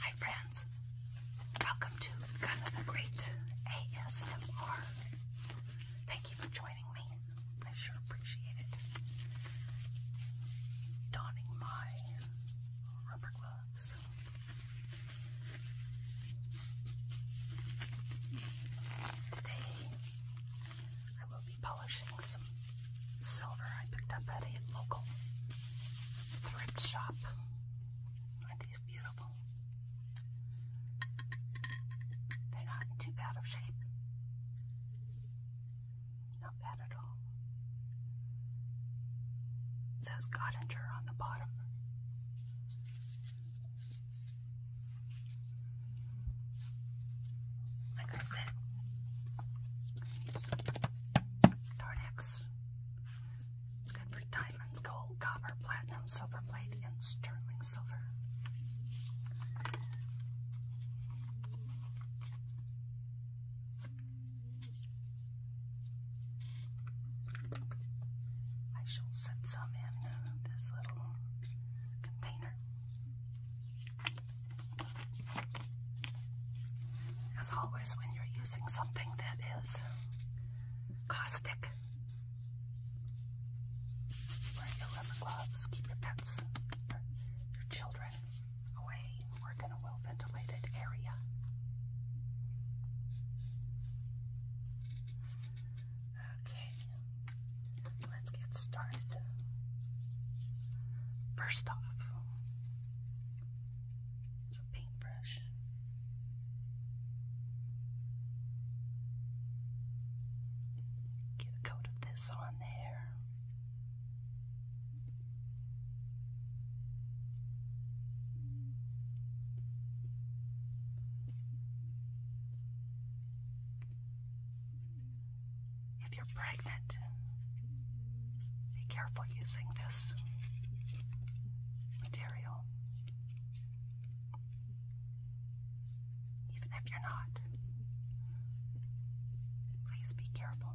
Hi friends, welcome to Kind Great ASMR. Thank you for joining me. I sure appreciate it. Donning my rubber gloves. Today I will polishing some silver I picked up at a local thrift shop. are these beautiful? They're not in too bad of shape. Not bad at all. says Gottinger on the bottom. Like I said, use It's good for diamonds, gold, copper, platinum, silver plate, and sterling silver. I shall set some in this little container. As always, when you're using something that is caustic, wear your rubber gloves, keep your pets, your children away, work in a well ventilated area. Okay, let's get started. First off, it's a paintbrush. Get a coat of this on there. If you're pregnant, be careful using this material. Even if you're not, please be careful.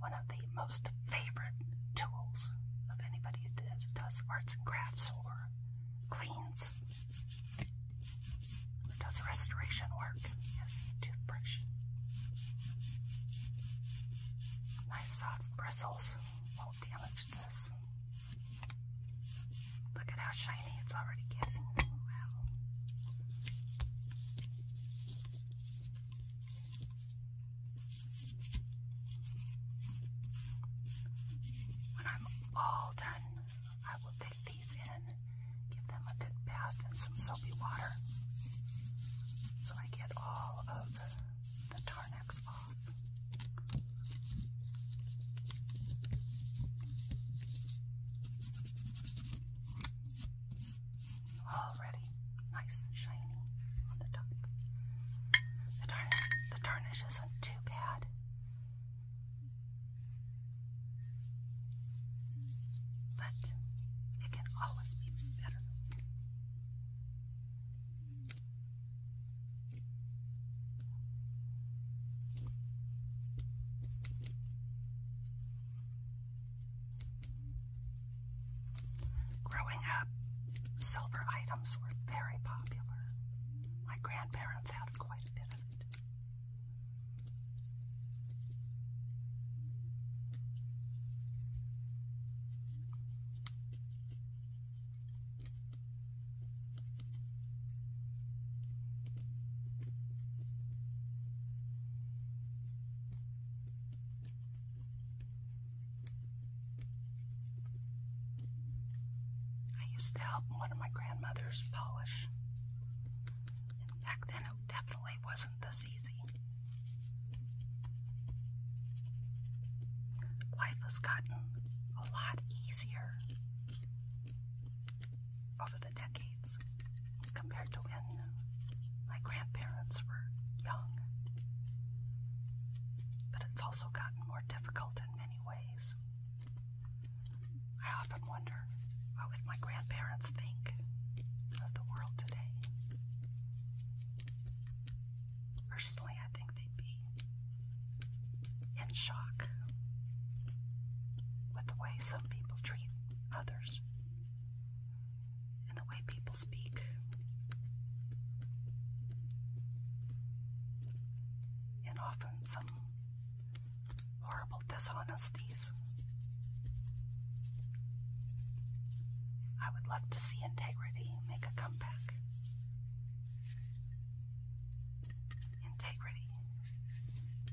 one of the most favorite tools of anybody who does, arts and crafts or cleans does restoration work is toothbrush. Nice soft bristles won't damage this. Look at how shiny it's already getting. Wow. When I'm all done, I will take these in, give them a good bath and some soapy water, so I get all of the, the Tarnex off already nice and shiny on the top. The tarnish, isn't too bad. But it can always be better. Growing up, silver items were very popular. My grandparents had quite a bit of it. I used to help one of my grandmothers polish. back then it definitely wasn't this easy. Life has gotten a lot easier over the decades compared to when my grandparents were young. But it's also gotten more difficult in many ways. I often wonder what would my grandparents think of the world today? Personally, I think they'd be in shock with the way some people treat others and the way people speak. And often some horrible dishonesties. I would love to see integrity make a comeback. Integrity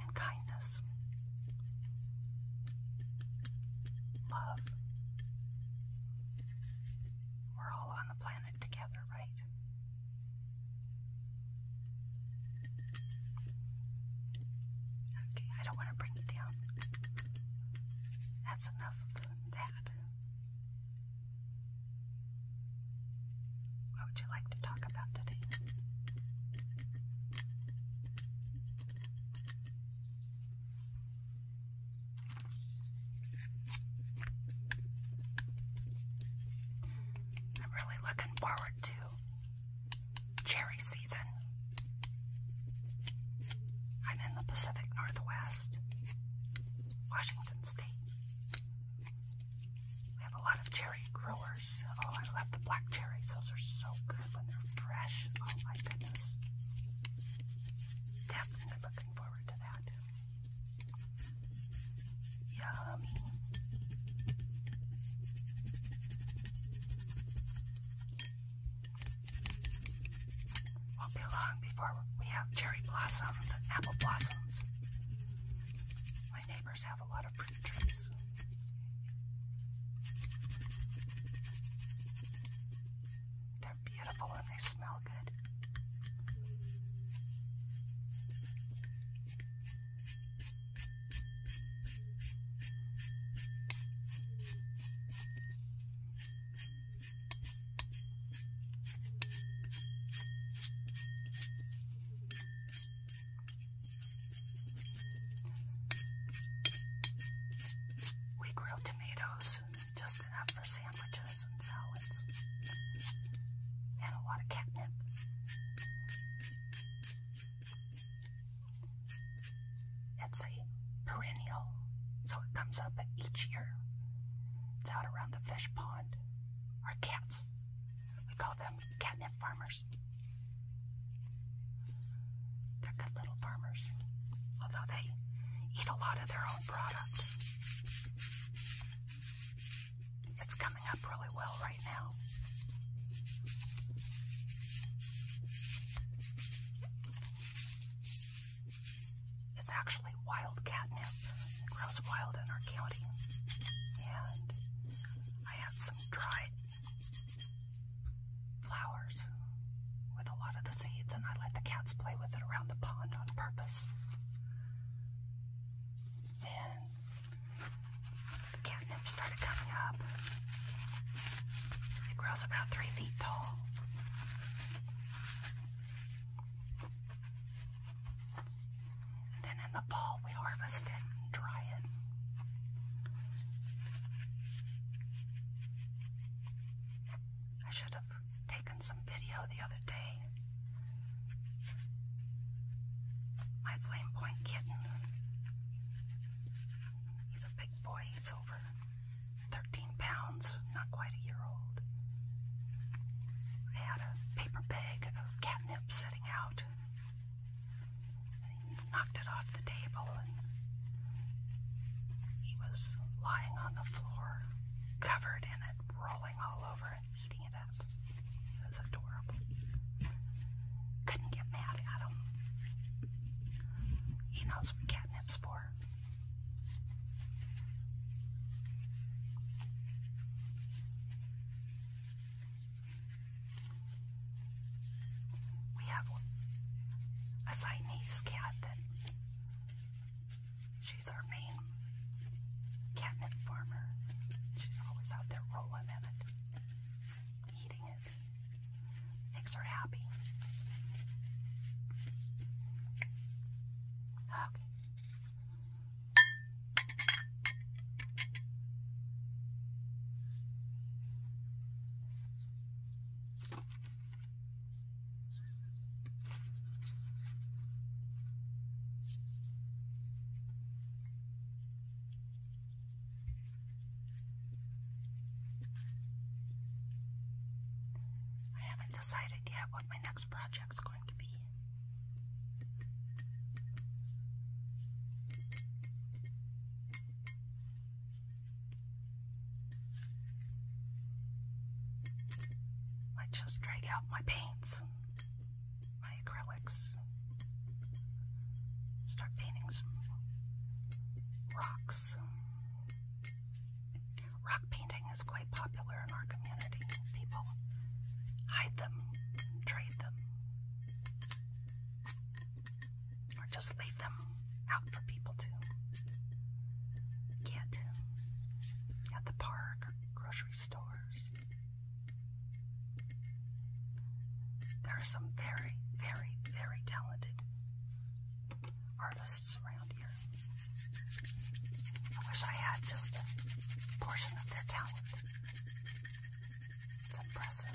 and kindness Love. We're all on the planet together, right? Okay, I don't want to bring you down. That's enough of that. What would you like to talk about today? I'm really looking forward to cherry season. I'm in the Pacific Northwest, Washington State. We have a lot of cherry growers. Oh, I love the black cherries. Those are so good when they're fresh. Oh my goodness. Definitely looking forward to that. Yum. Won't be long before we have cherry blossoms and apple blossoms. My neighbors have a lot of fruit trees. They're beautiful and they smell good. We grow tomatoes, just enough for sandwiches and salads, and a lot of catnip. It's a perennial, so it comes up each year. It's out around the fish pond. Our cats, we call them catnip farmers. They're good little farmers, although they eat a lot of their own product. It's coming up really well right now. It's actually wild catnip. It grows wild in our county. And I had some dried flowers with a lot of the seeds, and I let the cats play with it around the pond on purpose. Then catnip started coming up. It grows about three feet tall. then in the fall, we harvest it and dry it. I should have taken some video the other day. My Flame kitten. He's a big boy, he's over 13 pounds, not quite a year old. I had a paper bag of catnip sitting out he knocked it off the table and he was lying on the floor, covered in it, rolling all over and eating it up. It was adorable. Couldn't get mad at him. He knows what catnip's for. We have a Siamese cat that she's our main catnip farmer. She's always out there rolling in it, eating it. Makes her happy. Okay. I haven't decided yet what my next project is going to be. I just drag out my paints, my acrylics, start painting some rocks. Rock painting is quite popular in our community. People hide them, trade them. Or just leave them out for people to get at the park grocery stores. There are some very, very, very talented artists around here. I wish I had just a portion of their talent. It's impressive.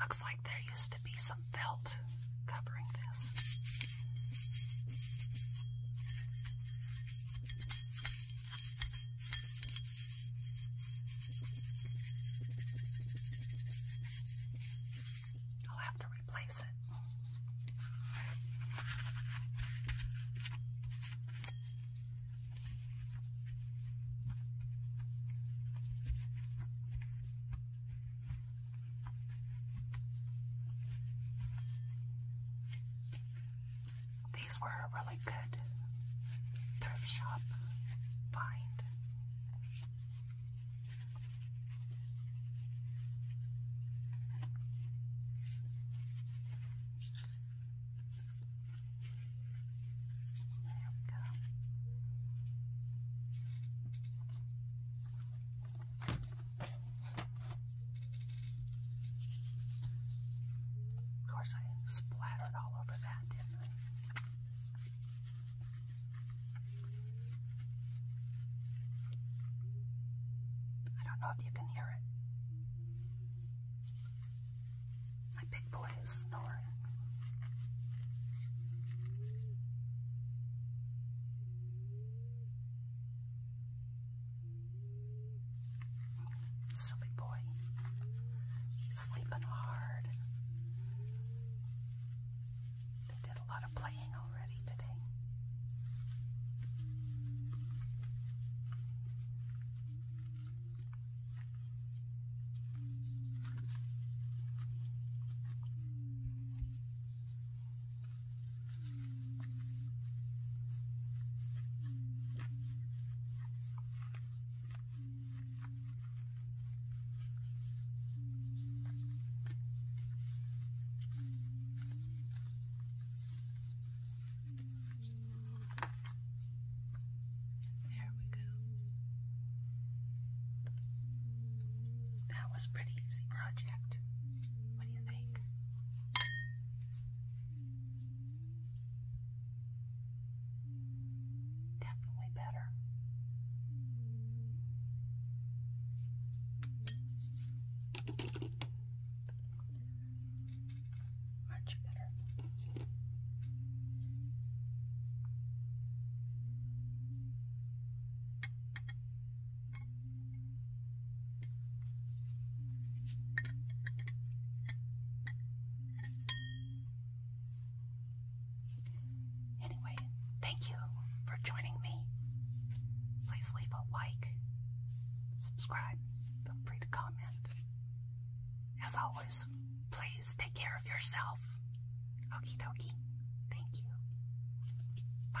Looks like there used to be some felt covering this. I'll have to replace it. These were a really good thrift shop find. There we go. Of course, I splattered all over that, didn't I? I don't know if you can hear it. My big boy is snoring. Silly boy. He's sleeping hard. They did a lot of playing already today. There we go. That was pretty easy project. What do you think? Definitely better. Much better. Anyway, thank you for joining me. Please leave a like, subscribe, feel free to comment. As always, please take care of yourself. Okie dokie. Thank you. Bye.